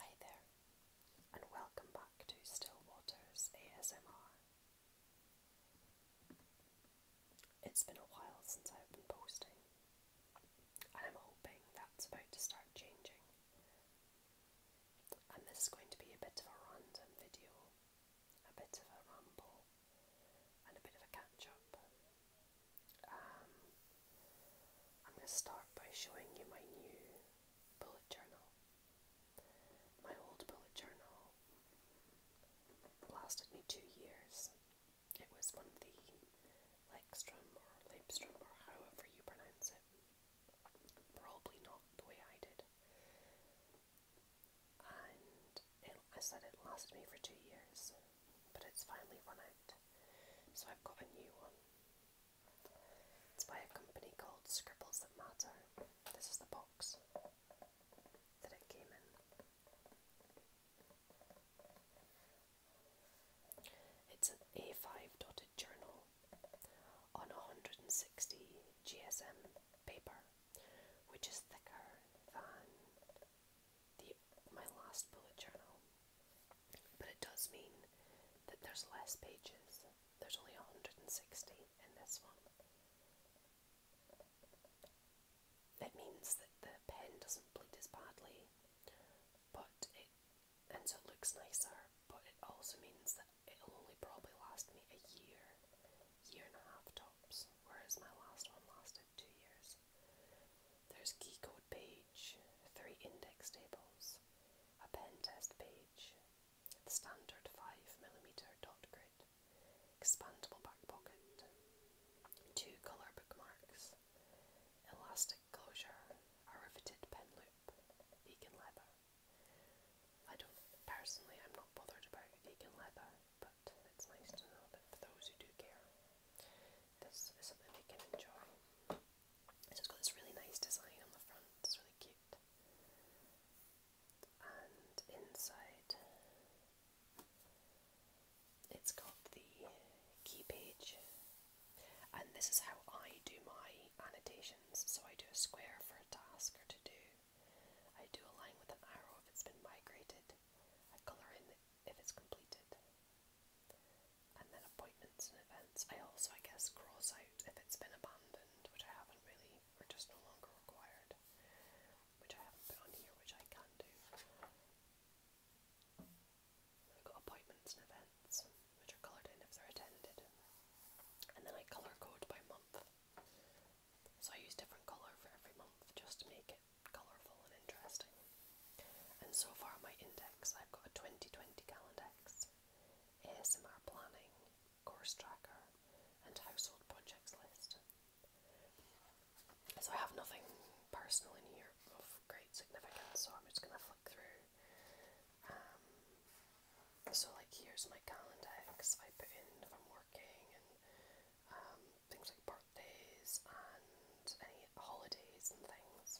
Hi there, and welcome back to Stillwater's ASMR. It's been a while since I've been posting, and I'm hoping that's about to start changing. And this is going to be a bit of a random video, a bit of a ramble, and a bit of a catch up. Um, I'm going to start by showing you my new bullet journal. My old bullet journal lasted me two years. It was one of the Lextrum or Lebstrom or however you pronounce it. Probably not the way I did. And I said it lasted me for two years, but it's finally run out. So I've got a new one. It's by a company called Scribbles That Matter. This is the box that it came in. It's an A5 dotted journal on 160 GSM paper, which is thicker than my last bullet journal. But it does mean that there's less pages. There's only 160 in this one. It means that the pen doesn't bleed as badly, but it and so it looks nicer, but it also means that it'll only probably last me a year, year and a half tops, whereas my last one lasted two years. There's key code page page, three index tables, a page, standard 5mm dot grid, expandable back pocket, two colour bookmarks, elastic closure, a riveted pen loop, vegan leather. I don't personally, I'm not bothered about vegan leather, but it's nice to know that for those who do care, this is something they can enjoy it's got this really nice design on the front, it's really cute. And inside, it's got the key page, and this is how I do my annotations. So I do a square for a task or to do, I do a line with an arrow if it's been migrated, I colour in if it's completed. And then appointments and events. I also, I guess, cross out if it's been abandoned, which I haven't really, or just no longer required, which I haven't put on here, which I can do. I've got appointments and events, which are coloured in if they're attended. And then I colour code by month. So I use different colour for every month just to make it colourful and interesting. And so far, my index I've got a 2020 Calendex, ASMR planning, course tracker, and household projects list. So I have nothing personal in here of great significance, so I'm just going to flick through. Um, so, like, here's my calendar. I put working and um, things like birthdays and any holidays and things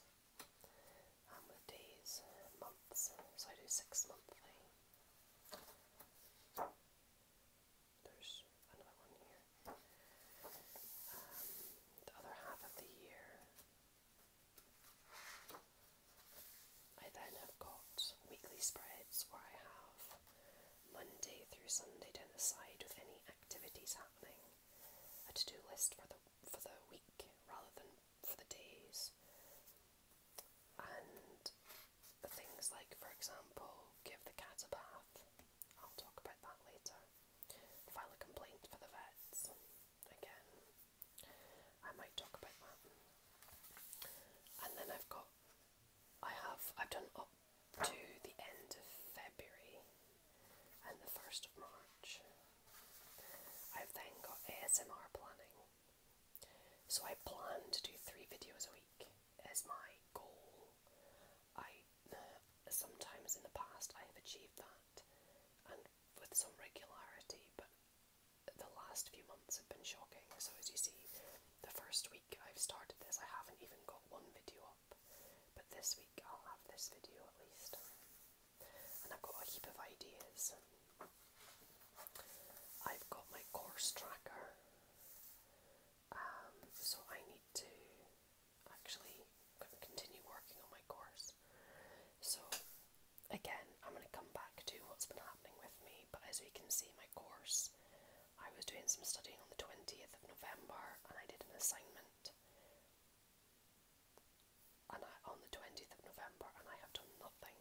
with days, months, so I do six monthly. There's another one here. Um, the other half of the year, I then have got weekly spreads where I have Monday through Sunday down the side with any activities happening, a to do list for the for the week rather than for the days. And things like, for example, give the cat a bath. I'll talk about that later. File a complaint for the vets. Again, I might talk about that. And then I've got, I have, I've done up to the end of February and the 1st of March. I've then got ASMR planning. So I plan to do three videos a week as my goal. I sometimes in the past I have achieved that and with some regularity, but the last few months have been shocking. So as you see, the first week I've started this, I haven't even got one video up. But this week I'll have this video at least and I've got a heap of ideas. I've got my course tracker, um, so I need to actually continue working on my course. So, again, I'm going to come back to what's been happening with me, but as we can see, my course, I was doing some studying on the 20th of November and I did an assignment and I, on the 20th of November, and I have done nothing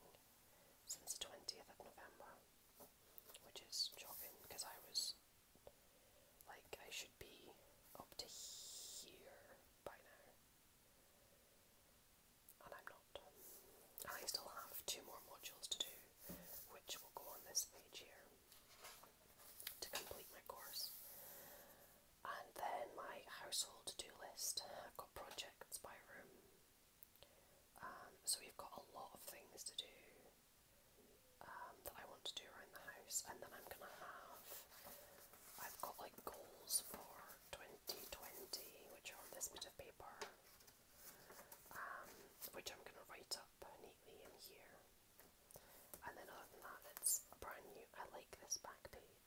since the 20th of November, which is shocking because I was like, I should be up to here by now, and I'm not. I still have two more modules to do, which will go on this page here to complete my course and then my household to do list. I've got projects by room. Um, so we've got a lot of things to do um, that I want to do around the house, and then I'm gonna have. I've got like goals for 2020, which are on this bit of paper, um, which I'm gonna write up neatly in here. And then other than that, it's brand new. I like this back page.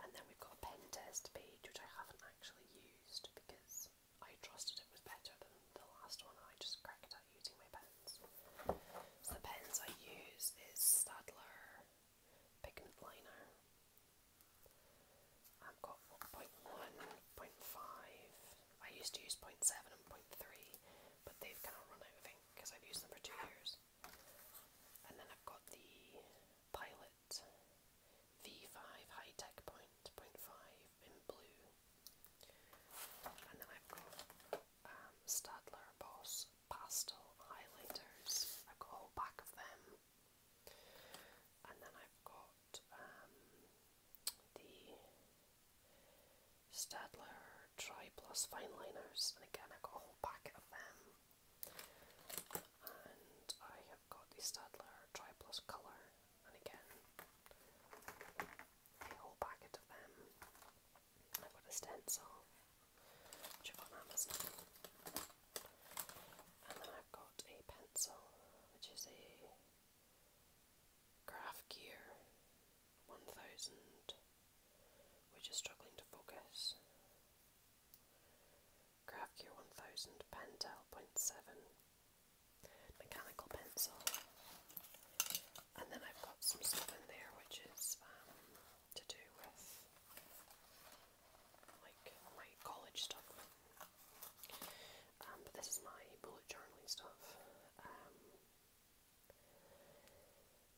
And then we've got pen test page, which I haven't actually used because I trusted it was better than the last one. I just cracked at using my pens. So the pens I use is Stadler Pigment Liner. I've got 0.1, I used to use 0.7 and 0.3, but they've kind of run out of ink because I've used them for two years course. And then I've got the Pilot V5 High Tech Point, point 0.5 in blue. And then I've got um, Stadler Boss Pastel Highlighters. I've got a whole pack of them. And then I've got um, the Stadler Triplus Fineliners, and again I got a whole packet of them. And I have got the Stadler tri Colour, and again a whole packet of them. I've got a stencil, which I've on Amazon. And then I've got a pencil, which is a Graph Gear 1000 we're just struggling to focus. GraphQL 1000 Pentel 0.7 mechanical pencil. And then I've got some stuff in there which is um, to do with like my college stuff. Um, but this is my bullet journaling stuff. Um,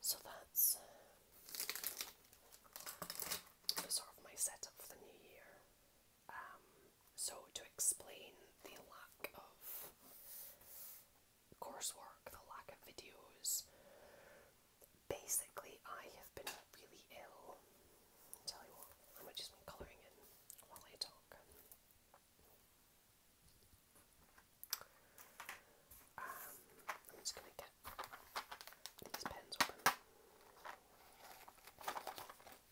so that's um, sort of my setup for the new year. Um, so, to explain the lack of coursework, the lack of videos, basically, I have been really ill. tell you what, I might just be colouring in while I talk. Um, I'm just going to get these pens open. Um,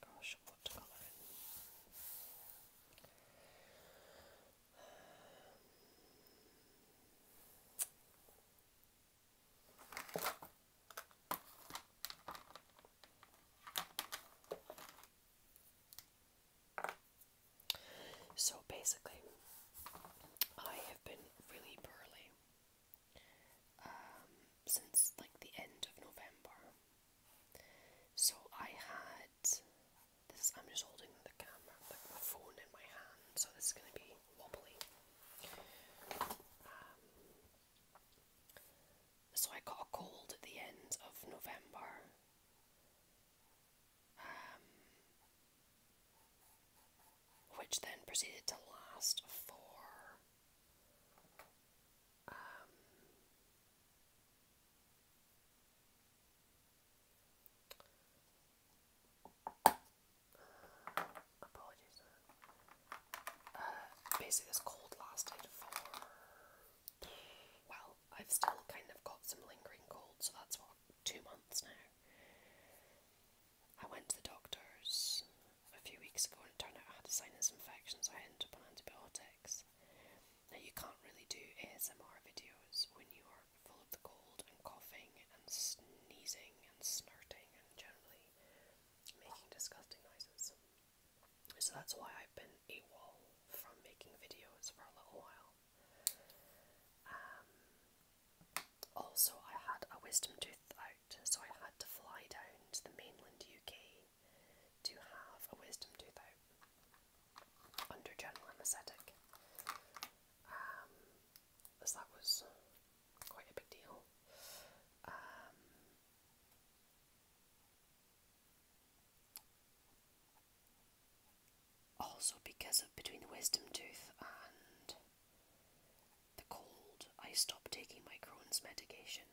gosh, what to colour in? So basically, I have been really poorly um, since like the end of November. So I had this. I'm just holding the camera, like my phone in my hand. So this is gonna be um, so I got a cold at the end of November. Um, which then proceeded to last for um, apologies. Uh, basically, this cold lasted for. Well, I've still kind of got some lingering cold, so that's what, two months now. I went to the doctor's a few weeks ago and it turned out I had a sinus infection, so I ended up on antibiotics. Now, you can't really do ASMR videos when you are full of the cold and coughing and sneezing and snorting generally making disgusting noises. So that's why I've been AWOL from making videos for a little while. Um, also, I had a wisdom tooth out, so I had to fly down to the mainland UK to have a wisdom tooth out under general anaesthetic. as um, that was quite a big deal. Um, also, because of between the wisdom tooth and the cold, I stopped taking my Crohn's medication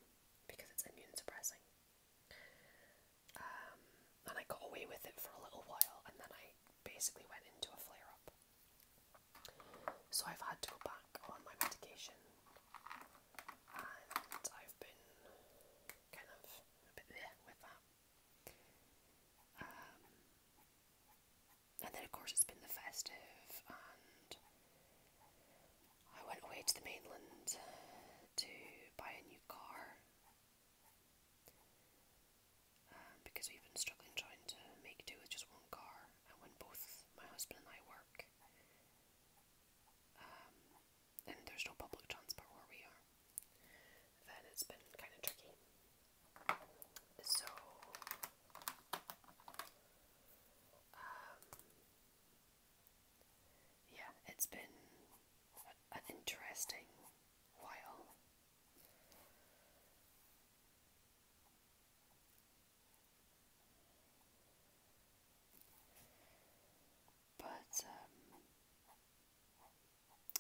because it's immune suppressing. Um, and I got away with it for a little while, and then I basically went into a flare up. So I've had to go back on my medication and I've been kind of a bit there with that. Um, and then, of course, it's been the festive, and I went away to the mainland to buy a new car. Um, because we've been struggling trying to make do with just one car, and when both my husband and I work, and um, there's no public transport where we are, then it's been kind of tricky. So, um, yeah, it's been an interesting while. But um,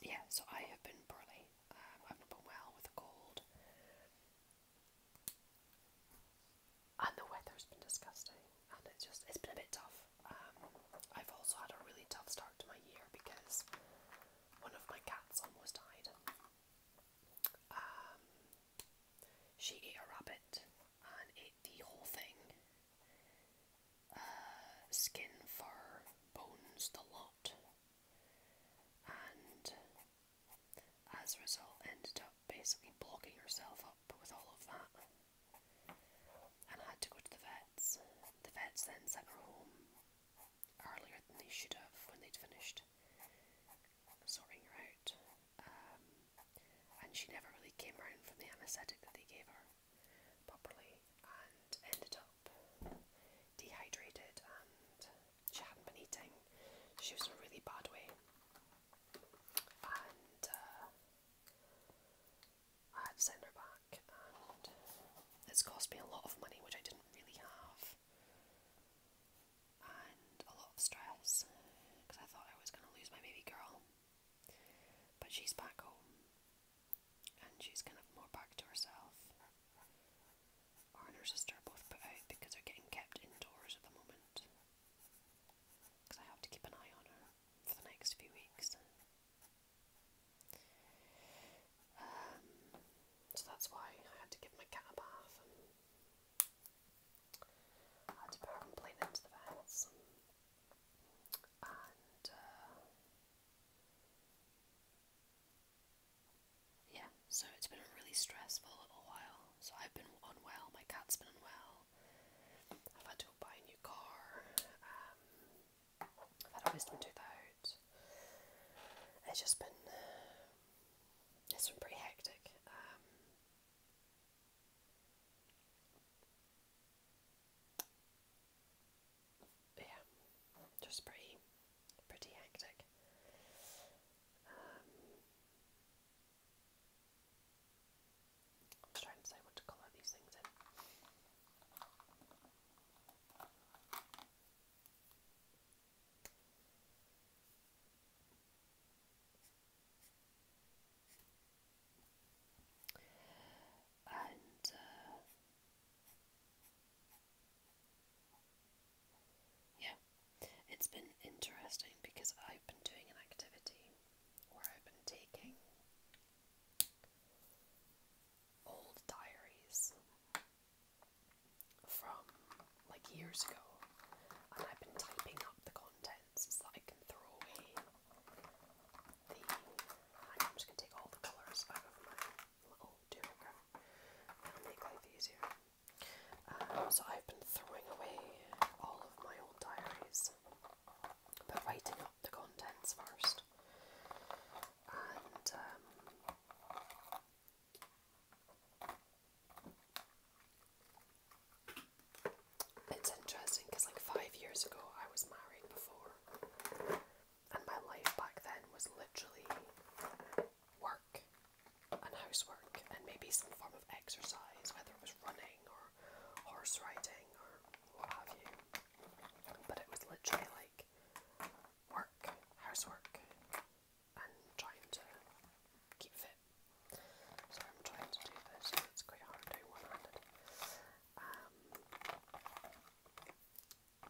yeah, so I have been poorly. Uh, I've not been well with a cold, and the weather's been disgusting. And it's just it's been a bit tough. Um, I've also had a really tough start to my year because one of my cats almost died. Um, she ate a rabbit and ate the whole thing uh, skin, fur, bones, the lot. And as a result, ended up basically blocking herself up with all of that. And had to go to the vets. The vets then sent her home earlier than they should have when they'd finished sorting her out. Um, and she never really came around from the anaesthetic that they gave her properly and ended up dehydrated and she hadn't been eating. She was in a really bad way. And uh, I had to send her back, and it's cost me a lot of money, which I didn't really have and a lot of stress because I thought I was going to lose my baby girl. But she's back home and she's kind of more back to herself. Her and her sister are both put out because they're getting kept indoors at the moment because I have to keep an eye on her for the next few weeks. Um, so that's why I had to give my cat a bath and I had to put her complaint into the vents. And uh, yeah, so it's been a really stressful little while. So I've been unwell, my cat's been unwell. I've had to go buy a new car. Um, I've had a wisdom tooth out. It's just been uh, it's been pretty hectic. Um, yeah, just pretty, pretty hectic. Um, I'm trying to decide what to colour these things in. And uh, yeah, it's been interesting because I've been doing an activity where I've been taking old diaries from like years ago, and I've been typing up the contents so I can throw away I'm just gonna take all the colours out of my little doer. that make life easier. Um, so I've been throwing away all of my old diaries, but writing up the contents first. And um, it's interesting because, like, five years ago, I was married before, and my life back then was literally work and housework, and maybe some form of exercise, whether it was running or horse riding or what have you. But it was literally like work, housework, and trying to keep fit. So I'm trying to do this, and it's quite hard doing one handed. Um,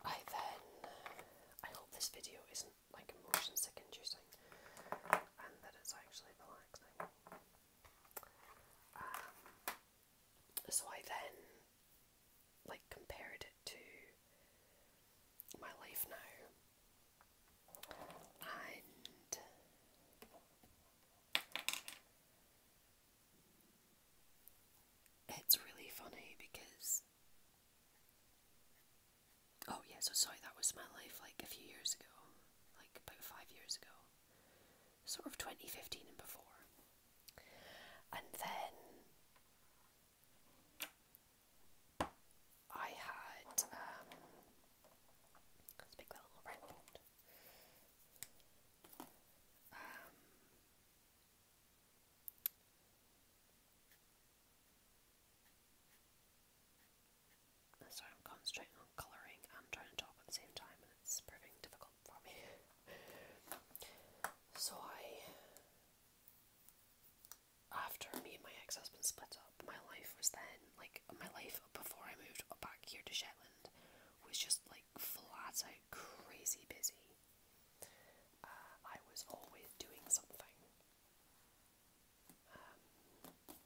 I then, I hope this video isn't like motion sick inducing and that it's actually relaxing. Um, so I then like compared it to my life now, and it's really funny because. Oh, yeah, so sorry, that was my life like a few years ago, like about five years ago, sort of 2015 and before. And then I had um, um, Sorry, I'm concentrating on colouring and trying to talk at the same time, and it's proving difficult for me. so I after me and my ex husband split up, my life was then like my life before I moved back here to Shetland was just like flat out crazy busy. Uh, I was always doing something. Um,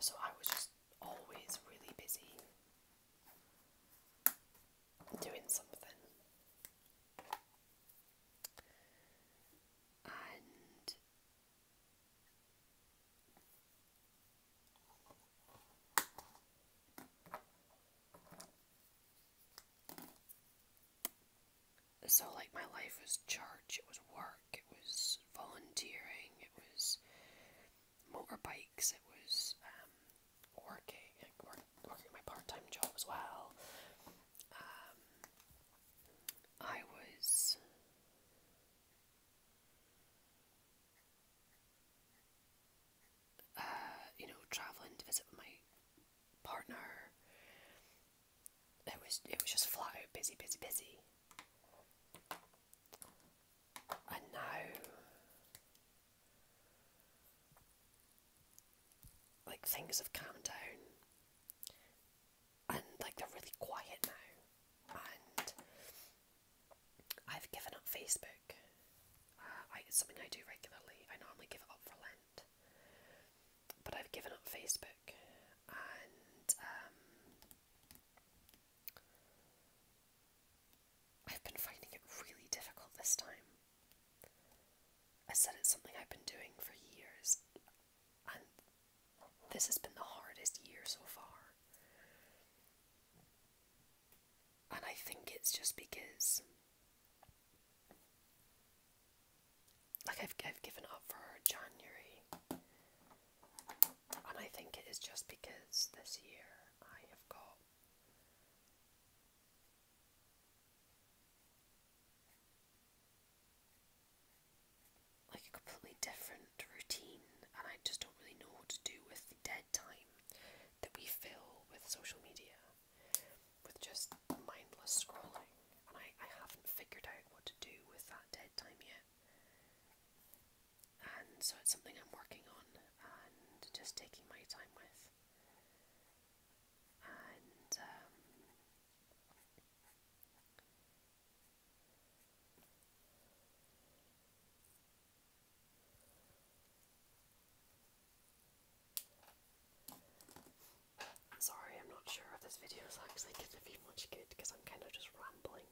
so I was just always really busy doing something. And so, like, my life was church, it was work, it was volunteering, it was motorbikes, it was um, working, work, working my part time job as well. Um, I was. Uh, you know, traveling to visit with my partner. It was it was just flat out busy, busy, busy and now like things have calmed down and like they're really quiet now and I've given up Facebook. I, it's something I do regularly. I normally give it up for Lent. But I've given up Facebook and um, I've been finding it really difficult this time. I said it's something I've been doing for years, and this has been the hardest year so far. And I think it's just because. Like I've I've given up for January. And I think it is just because this year I have got like a completely different routine, and I just don't really know what to do with the dead time that we fill with social media, with just mindless scrolling, and I, I haven't figured out what to do with that dead time yet and so it's something I'm working on and just taking my time with. Um, sorry, I'm not sure if this video is actually going to be much good because I'm kind of just rambling.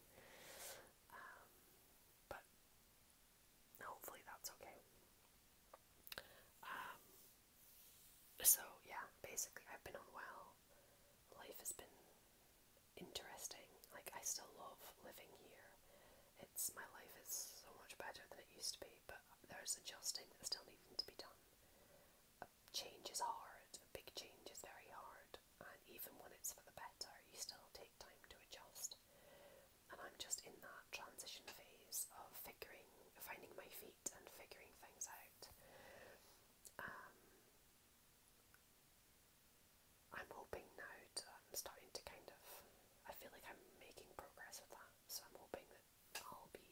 Um, but hopefully that's okay. Um, so yeah, basically I've been unwell. Life has been interesting. Like I still love living here. It's my life is so much better than it used to be, but there's adjusting that's still needing to be done. A change is hard. A big change is very hard and even when it's for the better, you still take time to adjust. And I'm just in that transition phase of figuring, finding my feet and figuring things out. Um, I'm hoping now to, I'm starting to kind of, I feel like I'm making progress with that, so I'm hoping that I'll be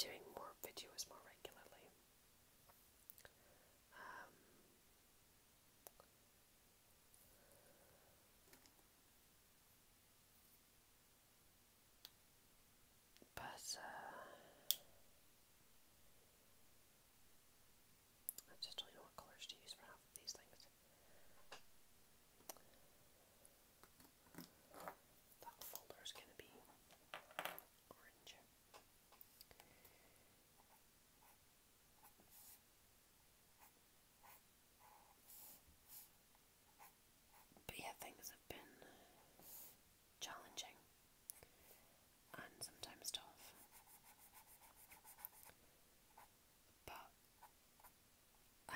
doing more videos more regularly. Um, but uh, I just don't know what colours to use for these things. That folder is going to be orange. But yeah, things have been challenging and sometimes tough. But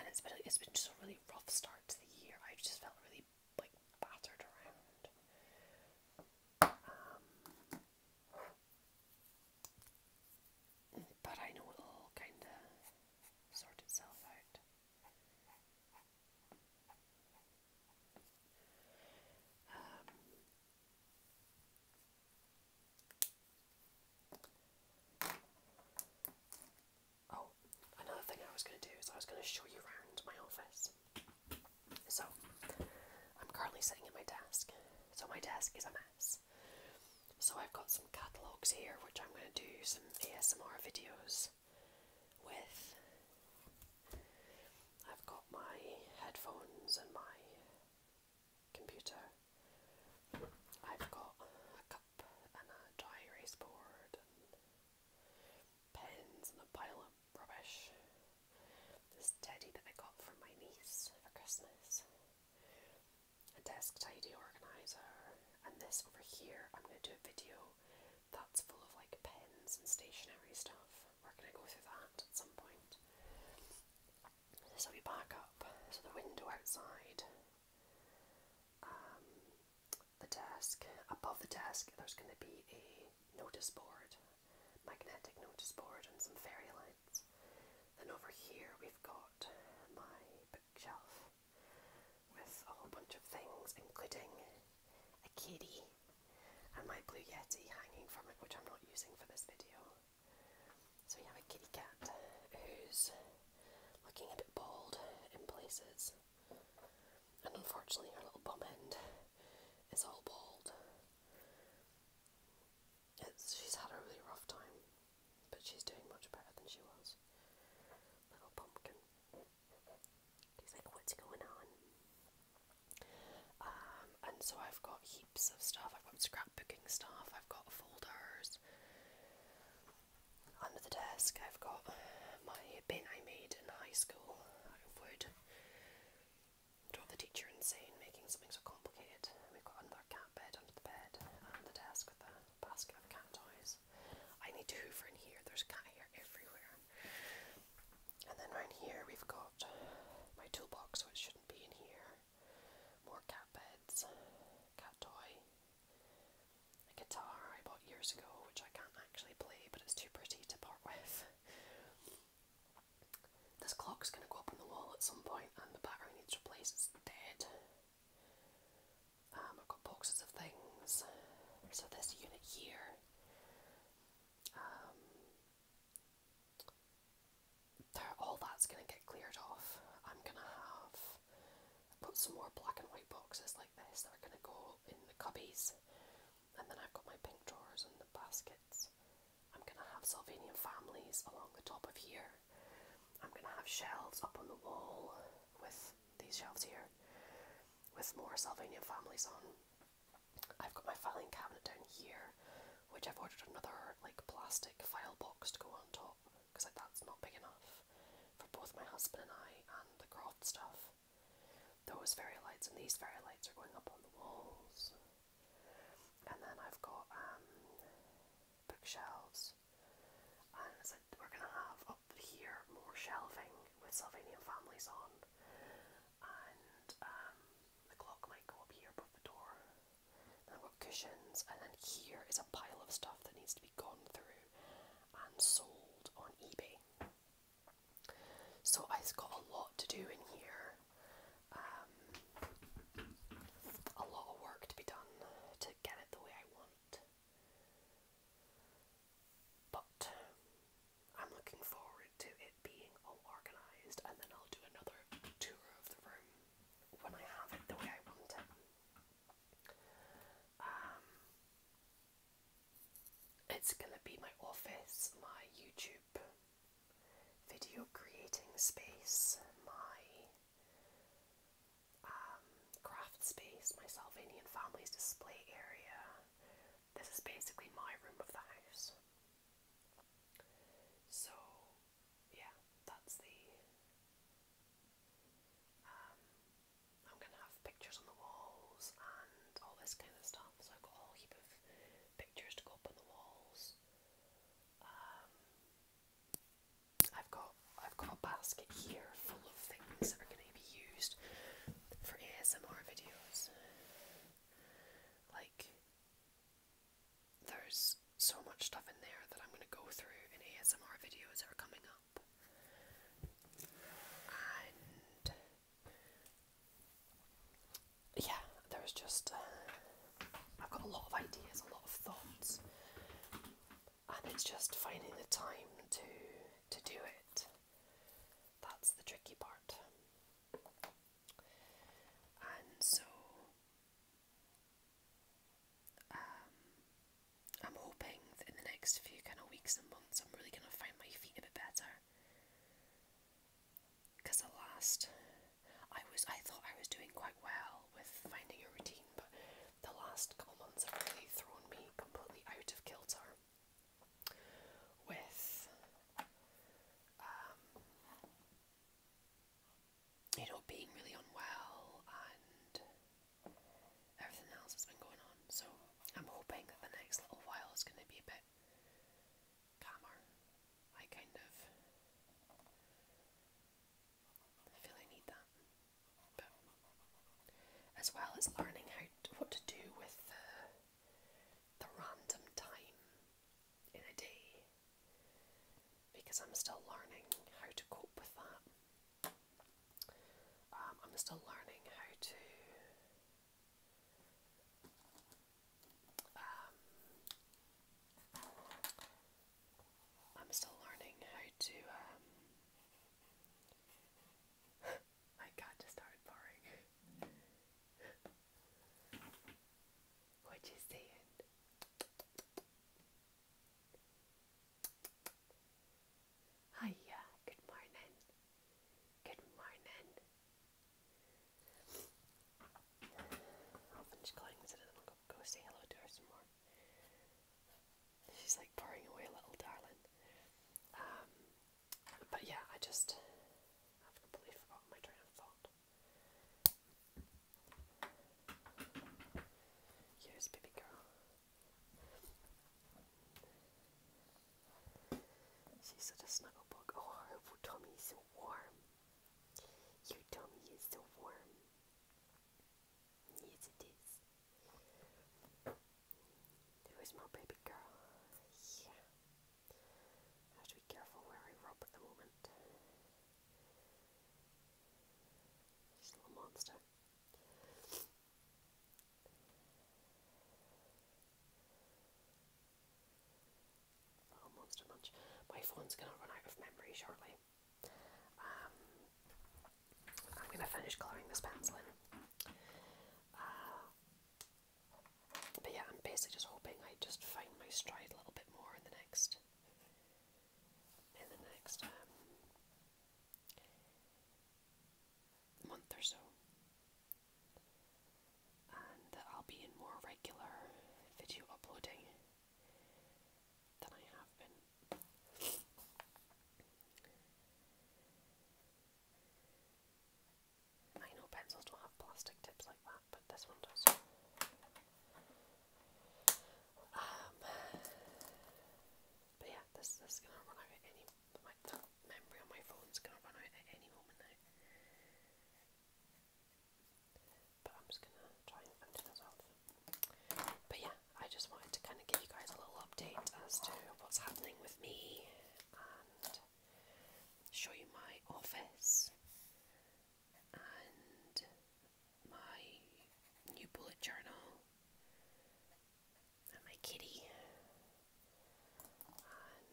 and it's been it's been just a really rough start to the year. i just felt really like battered around. Um, but I know it all kind of sort itself out. Um, oh, another thing I was going to do is I was going to show you around my office. So, I'm currently sitting at my desk. So, my desk is a mess. So, I've got some catalogues here which I'm going to do some ASMR videos with. I've got my headphones and my computer. I've got a cup and a dry erase board pens and a pile of rubbish. This teddy that I got from my niece for Christmas. A desk tidy organizer. And this over here, I'm going to do a video that's full of like pens and stationery stuff. We're going to go through that at some point. So we back up. So the window outside, um, the desk. Above the desk, there's going to be a notice board magnetic notice board and some fairy lights. Then over here we've got my bookshelf with a whole bunch of things, including a kitty and my blue yeti hanging from it, which I'm not using for this video. So we have a kitty cat who's looking a bit bald in places, and unfortunately her little bum end is all bald. It's, she's had a really rough time, but she's doing much better than she was. Little pumpkin. He's like, what's going on? Um, and so I've got heaps of stuff. I've got scrapbooking stuff. I've got folders. Under the desk, I've got my bin I made in high school out of wood drove the teacher insane making something so complicated. We've got another cat bed under the bed and the desk with a basket of cat toys. I need to hoover in here, there's cat hair everywhere. And then around here we've got my toolbox, which shouldn't be in here. More cat beds, cat toy, a guitar I bought years ago, which I can't actually play, but it's too pretty to part with. This clock's going to go up on the wall at some point and the battery needs replaced, it's dead. Um, I've got boxes of things. So this unit here, um, all that's going to get cleared off. I'm going to have put some more black and white boxes like this that are going to go in the cubbies and then I've got my pink drawers and the baskets. I'm gonna have Sylvanian families along the top of here. I'm gonna have shelves up on the wall with these shelves here with more Sylvanian families on. I've got my filing cabinet down here, which I've ordered another like plastic file box to go on top because like that's not big enough for both my husband and I and the Croft stuff those fairy lights and these fairy lights are going up on the walls. And then I've got um, bookshelves, and it's we're gonna have up here more shelving with Sylvanian families on, and um, the clock might go up here above the door. I've got cushions, and then here is a pile of stuff that needs to be gone through and sold on eBay. So I've got a lot to do in here, um, a lot of work to be done to get it the way I want. But I'm looking forward to it being all organised and then I'll do another tour of the room when I have it the way I want it. Um, it's gonna be my office, my YouTube video creating space, my um, craft space, my Salvanian family's display area. This is basically my room of the house. So, yeah, that's the. Um, I'm gonna have pictures on the walls and all this kind of stuff. So I've got pictures to go up on the walls. Um, I've got I've got a basket here full of things that are going to be used for ASMR videos. Like there's so much stuff in there that I'm going to go through in ASMR videos that are coming up yeah, there's just uh, I've got a lot of ideas, a lot of thoughts, and it's just finding the time to to do it. That's the tricky part. And so um, I'm hoping that in the next few kind of weeks and months, I'm really going to find my feet a bit better because at last I was I thought I was doing quite well with finding a routine, but the last couple months have really thrown me completely out of kilter with um, you know being really unwell and everything else has been going on. So I'm hoping that the next little while is going to be a bit calmer. I kind of feel I need that. But as well as learning how what to do with the, the random time in a day, because I'm still learning how to cope with that. Um, I'm still learning how to um, I'm still learning how to, um, my cat just started barking. what you saying? Hiya, good morning. Good morning. I'll finish go, say hello to her some more. She's like purring away, little darling. Um, but yeah, I just I've completely forgotten my train of thought. Here's baby girl. She's such a snuggle bug. Oh, her tummy is so warm. Your tummy is so warm. Yes, it is. Where's my baby girl? Yeah. have to be careful where I rub at the moment. little monster. Oh, Monster Munch. My phone's going to run out of memory shortly. Um, I'm going to finish colouring this pencil in. Uh, but yeah, I'm basically just hoping I just find my stride a little bit more in the next, in the next um, month or so and that I'll be in more regular video uploading than I have been. I know pencils don't have plastic tips like that, but this one does. Um, but yeah, this, is gonna run out at any. My memory on my phone's gonna run out at any moment now. But i just yeah, I just wanted to kind of give you guys a little update as to what's happening with me and show you my office and my new bullet journal and my kitty um,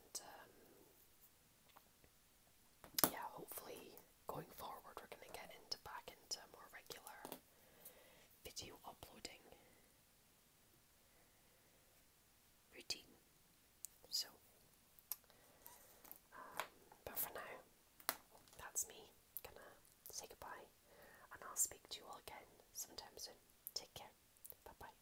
yeah, hopefully going forward we're gonna get into back into more regular video uploading routine. So um, but for now, that's me. Gonna say goodbye and I'll speak to you all again sometime soon. Take care. Bye bye.